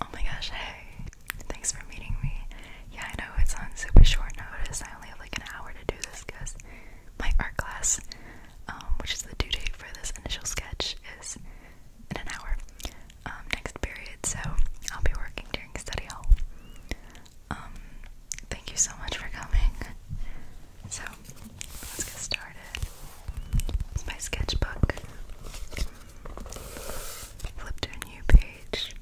Oh my gosh, hey. Thanks for meeting me. Yeah, I know it's on super short notice. I only have like an hour to do this because my art class, um, which is the due date for this initial sketch, is in an hour um, next period. So I'll be working during study hall. Um, thank you so much for coming. So let's get started. It's my sketchbook. Flip a new page.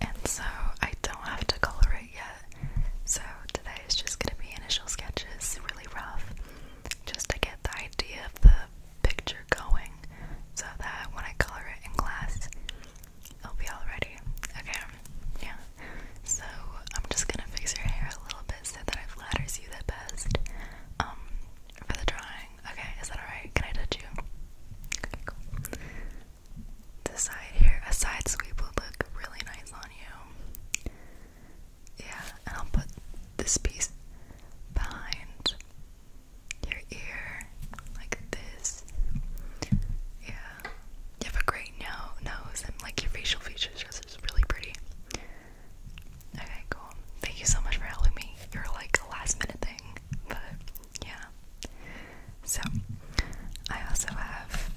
And so I don't have to color it yet. So today is just going to be initial sketches, really rough, just to get the idea of the picture going so that when I color it in class, it'll be all ready. Okay, yeah. So I'm just going to fix your hair a little bit so that it flatters you the best um, for the drawing. Okay, is that alright? Can I touch you? Okay, cool. The side here, a side sweep will look really nice on you. Yeah, and I'll put this piece behind your ear, like this. Yeah, you have a great nose, and like your facial features just really pretty. Okay, cool. Thank you so much for helping me. You're like a last minute thing, but yeah. So, I also have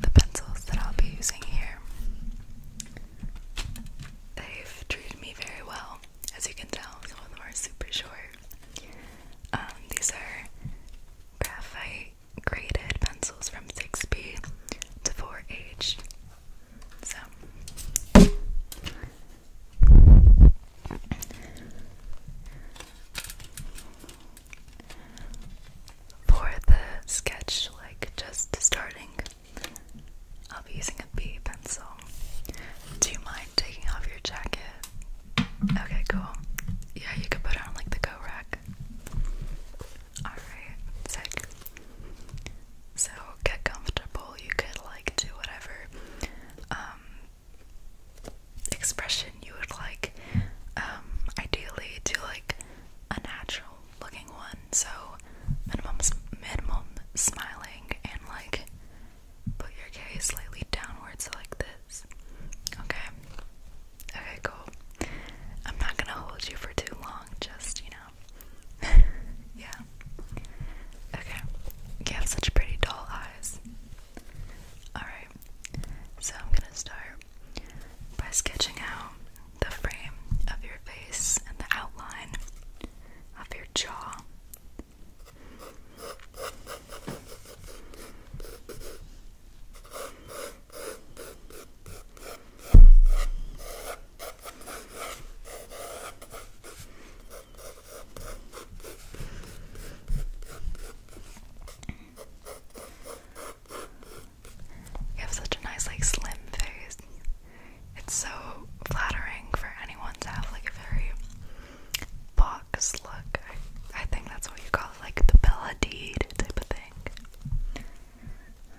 the pencils that I'll be using here. They've treated me very well, as you can tell. Some of them are super short. Um, these are graphite graded pencils from 6B to 4H. So for the sketch, like just starting, I'll be using a B pencil. Do you mind taking off your jacket? Okay, cool. Yeah, you could put on like the go rack. Alright, So get comfortable, you could like do whatever um, expression you would like. Um ideally do like a natural looking one, so minimum minimum smiling and like put your gaze slightly downwards like this. Okay. Okay, cool. I'm not gonna hold you for too long, just, you know. yeah. Okay. You have such pretty dull eyes. Alright. So I'm gonna start by sketching out the frame of your face and the outline of your jaw. You have such a nice, like, slim face. It's so flattering for anyone to have, like, a very box look. I, think that's what you call like the Bella Deed type of thing.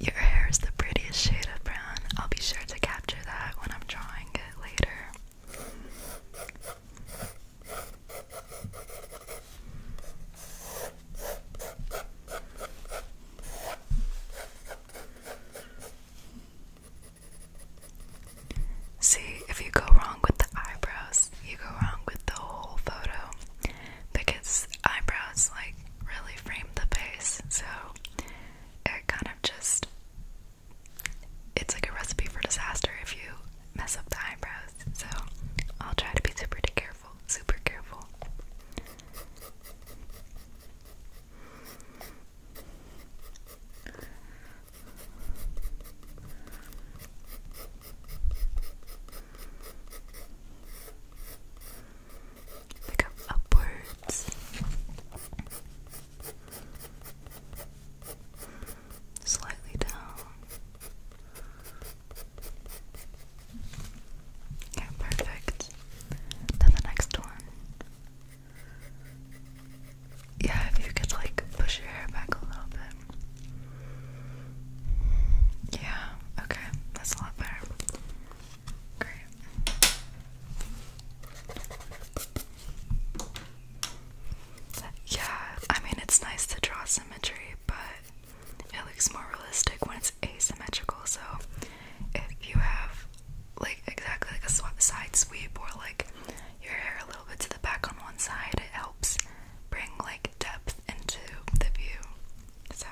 Your hair is the prettiest shade of brown. I'll be sure to capture that when I'm drawing it later. See, if you go wrong with the eyebrows, you go wrong with the whole photo because eyebrows like really frame the face, so it kind of just it's like a recipe for disaster if you mess up the eyebrows. So I'll try to be super careful, super careful. Pick up upwards slightly down. Okay, perfect. Then the next one. Yeah, if you could like push your hair back a little bit. Yeah, okay, that's a lot better. Great. Yeah, I mean, it's nice to draw symmetry, but it looks more realistic when it's asymmetrical. So if you have like exactly like a side sweep or like your hair a little bit to the back on one side, it helps bring like depth into the view. So.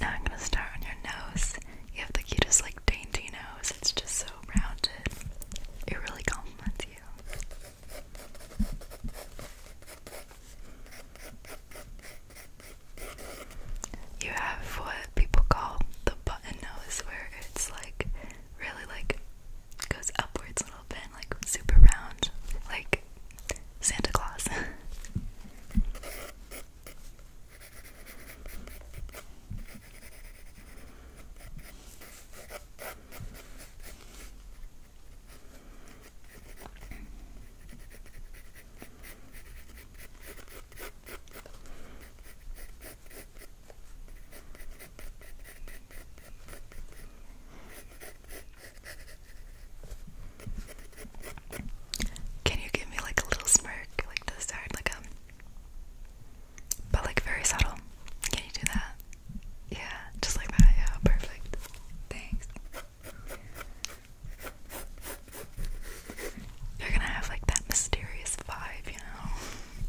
Now I'm gonna start on your nose. You have the cutest, like, dainty nose. It's just so rounded. It really compliments you. You have what people call the button nose, where it's like really like goes upwards a little bit, like super round, like Santa Claus. Can you give me like a little smirk, like this side, like a, um, but like very subtle? Can you do that? Yeah, just like that. Yeah, perfect. Thanks. You're gonna have like that mysterious vibe, you know.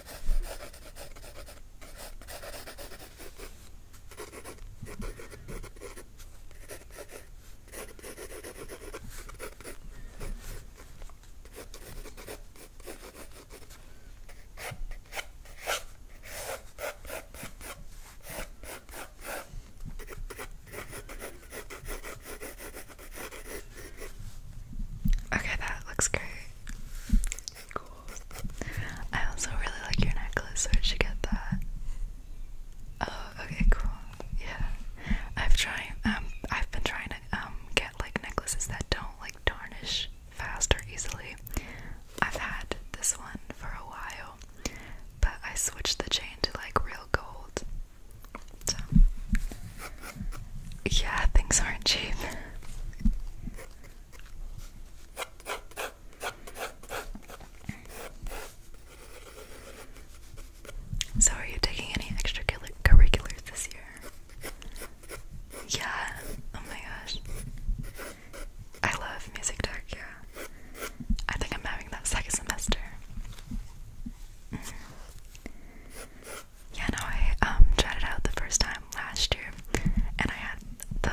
Okay, that looks great. I also really like your necklace, so I should get that. Oh, okay, cool. Yeah, I've tried. Um, I've been trying to um get like necklaces that don't like tarnish fast or easily. I've had this one for a while, but I switched the chain to like real gold. yeah, things aren't cheap. So, are you taking any extracurriculars this year? Yeah. Oh my gosh. I love music tech. Yeah. I think I'm having that second semester. Mm. Yeah, no, I um, tried it out the first time last year, and I had the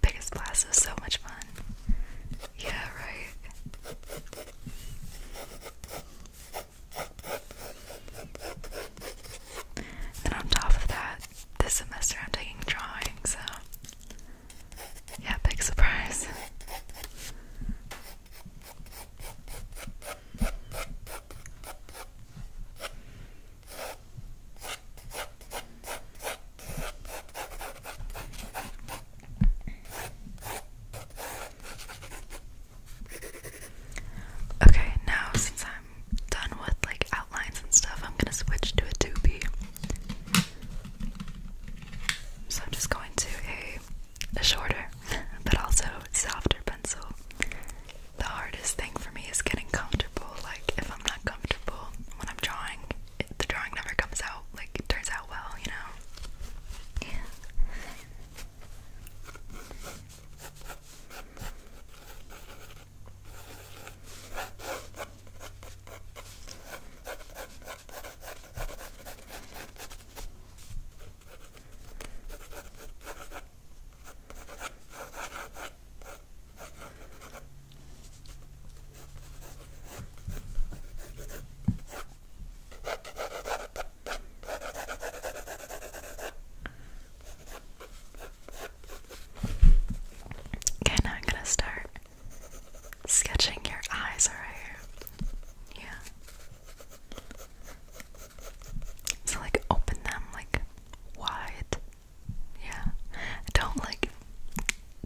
biggest blast. It was so much fun. Yeah, right. And on top of that, this semester I'm taking drawing, so yeah, big surprise. Okay, now since I'm done with like outlines and stuff, I'm gonna switch to a 2B. So I'm just going to a, a shorter but also softer pencil the hardest thing for me is getting comfortable. Like, if I'm not comfortable when I'm drawing, the drawing never comes out. Like, it turns out well, you know? Yeah. Okay, now I'm gonna start sketching your eyes, alright? Yeah. So, like, open them like wide. Yeah. Don't like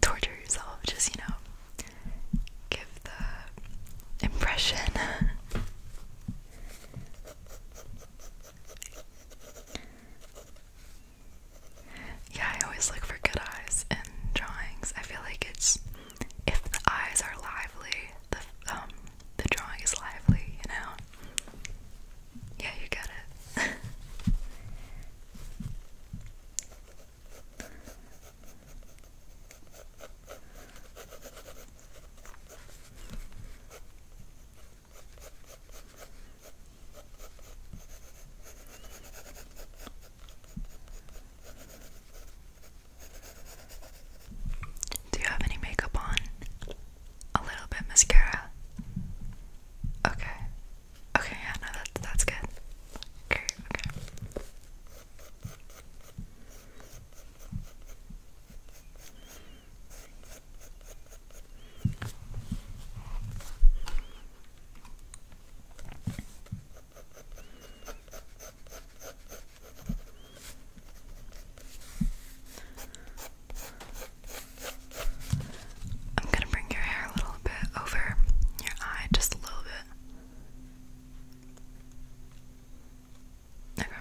torture yourself, just you know, give the impression. yeah, I always look for good eyes in drawings. I feel like it's if the eyes are lively, the um the drawing is lively, you know? Yeah, you get it. Do you have any makeup on? a little bit mascara. Okay. Okay, yeah, no, that, that's good. Okay, okay. Okay, I'm gonna bring your hair a little bit over your eye, just a little bit. Okay.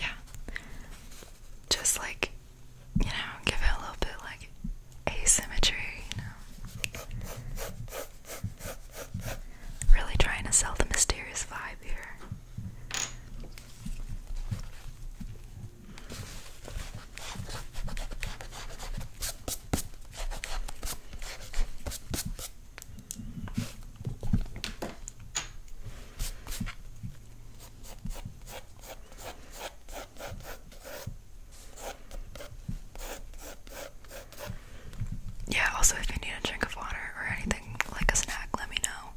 Yeah. Just like, you know, give it a little bit like asymmetry, you know. Really trying to sell the mysterious vibe here. Yeah, also, if you need a drink of water or anything like a snack, let me know.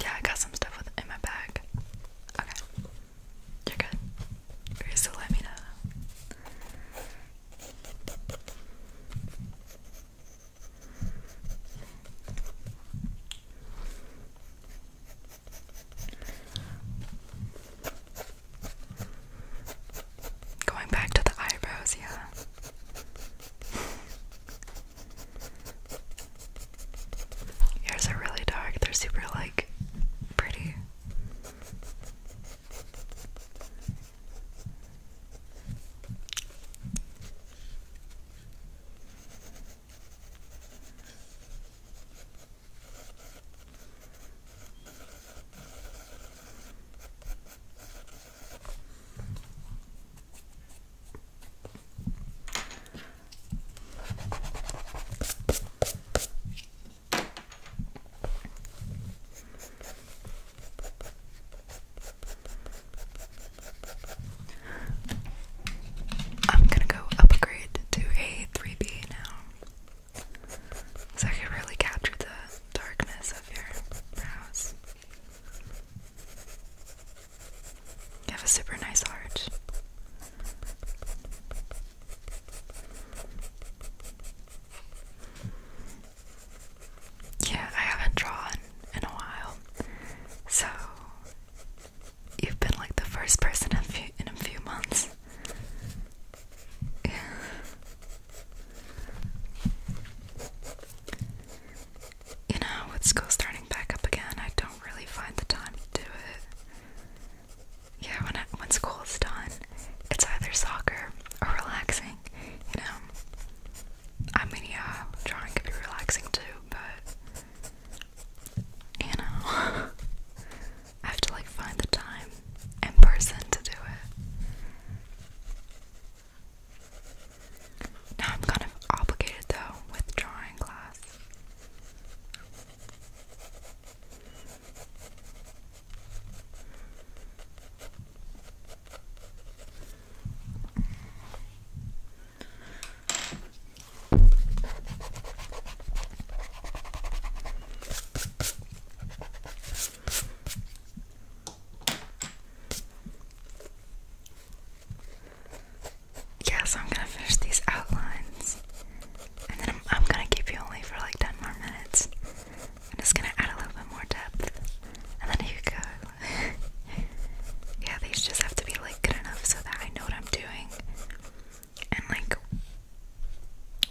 Yeah, I got some stuff with in my bag. Okay. You're good. Okay, so let me know. Going back to the eyebrows, yeah. Yours are really dark, they're super like pretty. I'm gonna go upgrade to a 3B now. So I can really capture the darkness of your brows. You have a super nice heart. Yeah, I haven't drawn in a while, so you've been like the first person in a few, months. you know, with school starting back up again, I don't really find the time to do it. Yeah, when I, when school is done, it's either soccer or relaxing. You know, I mean, yeah, drawing could be relaxing too, but you know, I have to like find the time in person to do it. Now I'm kind of obligated though with drawing class. Yeah, so I'm gonna finish these outlines. And then I'm, gonna keep you only for like 10 more minutes. I'm just gonna add a little bit more depth. And then you go. yeah, these just have to be like good enough so that I know what I'm doing. And like,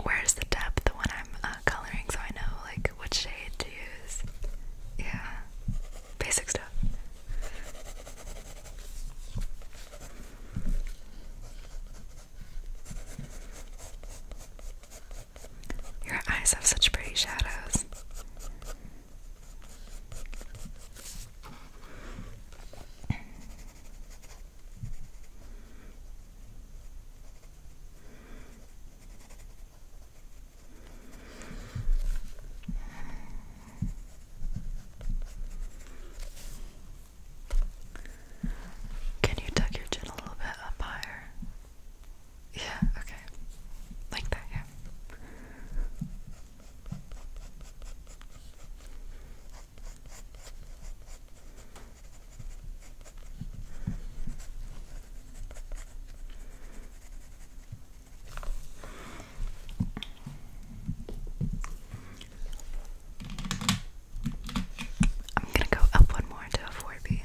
where's the depth when I'm uh, coloring so I know like which shade yeah, basic stuff. Your eyes have such pretty shadows. Can you tuck your chin a little bit up higher? Yeah, okay. Like that, yeah. I'm gonna go up one more to a 4B.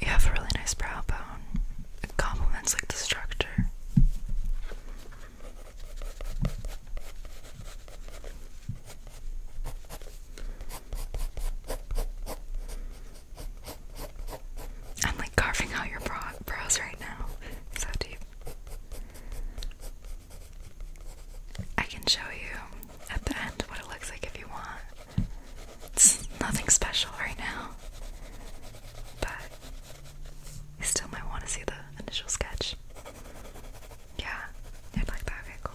You have a really nice brow bone. It complements like the structure. I'm like carving out your brow brows right now. So deep. I can show you at the end what it looks like if you want. It's nothing special right now. But you still might want to see the initial sketch. Yeah, I'd like that. Okay, cool.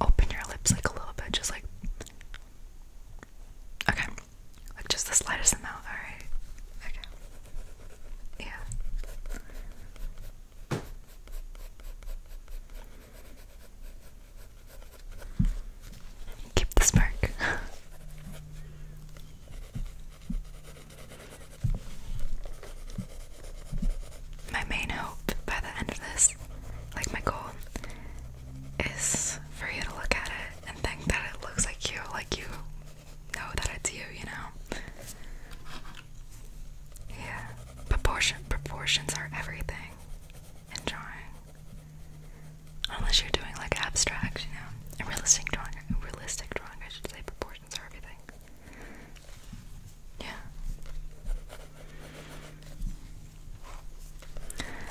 Open your lips like a little bit, just like. Okay. Like just the slightest amount, alright? Okay. Yeah. Keep the spark. My main hope by the end of this, like my goal, is for you to look at it and think that it looks like you, like you know that it's you, you know? Yeah. Proportion proportions are everything in drawing. Unless you're doing like abstract, you know. A realistic drawing realistic drawing, I should say proportions are everything. Yeah.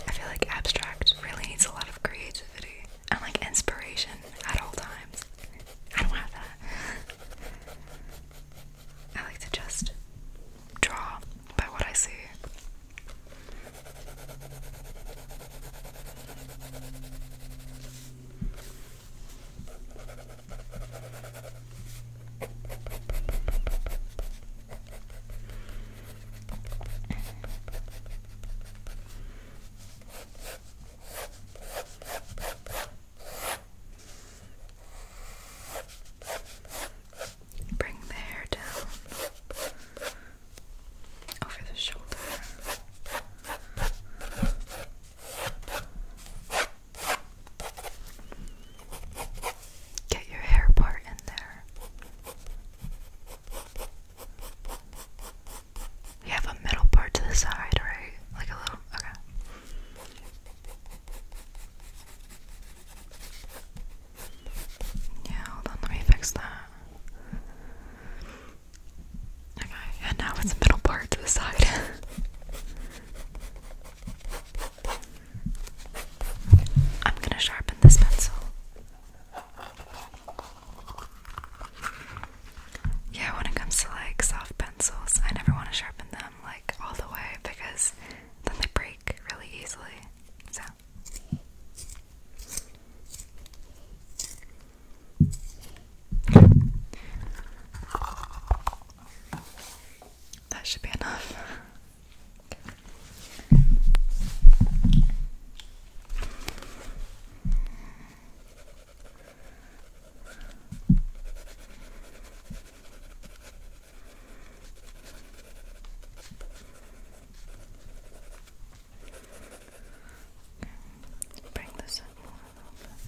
I feel like abstract really needs a lot of creativity and like inspiration at all times. I don't have that. I like to just draw by what I see. Bring the hair down over the shoulder. Get your hair part in there. You have a middle part to the side, right? Like a little. Okay. Yeah, hold let me fix that. Okay, and now it's the middle part to the side. I'm gonna sharpen this pencil. Yeah, when it comes to like soft pencils, I never want to sharpen them like all the way because then they break really easily. So. That should be enough. Bring this up more a little bit.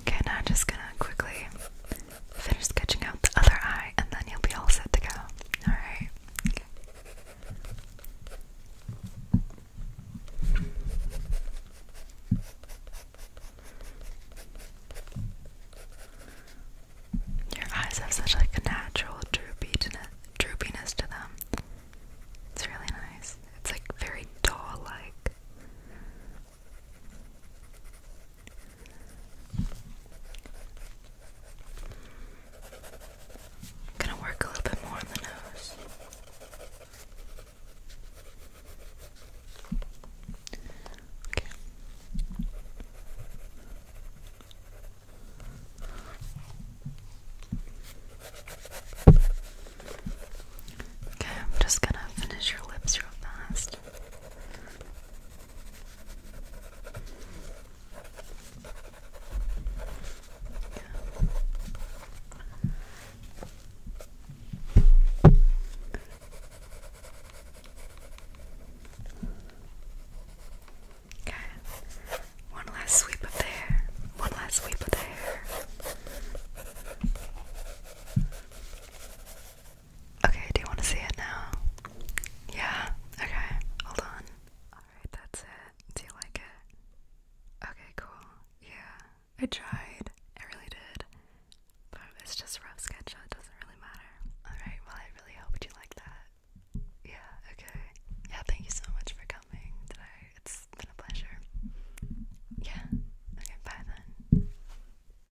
Okay, now just gonna quickly Finish sketching out the other eye, and then you'll be all set to go. Alright? Your eyes have such like a natural droopiness, droopiness to them. It's really nice. It's like very doll-like. I'm gonna work a little bit more on the nose. Okay. Okay, I'm just gonna finish your lips real fast. Okay. One last sweep of the hair. One last sweep of the hair. Okay, do you want to see it now? Yeah? Okay, hold on. Alright, that's it. Do you like it? Okay, cool. Yeah, I tried. I really did. But it's just rough sketch, it doesn't really matter. Alright, well, I really hoped you liked that. Yeah, okay. Yeah, thank you so much for coming today. It's been a pleasure. Yeah, okay, bye then.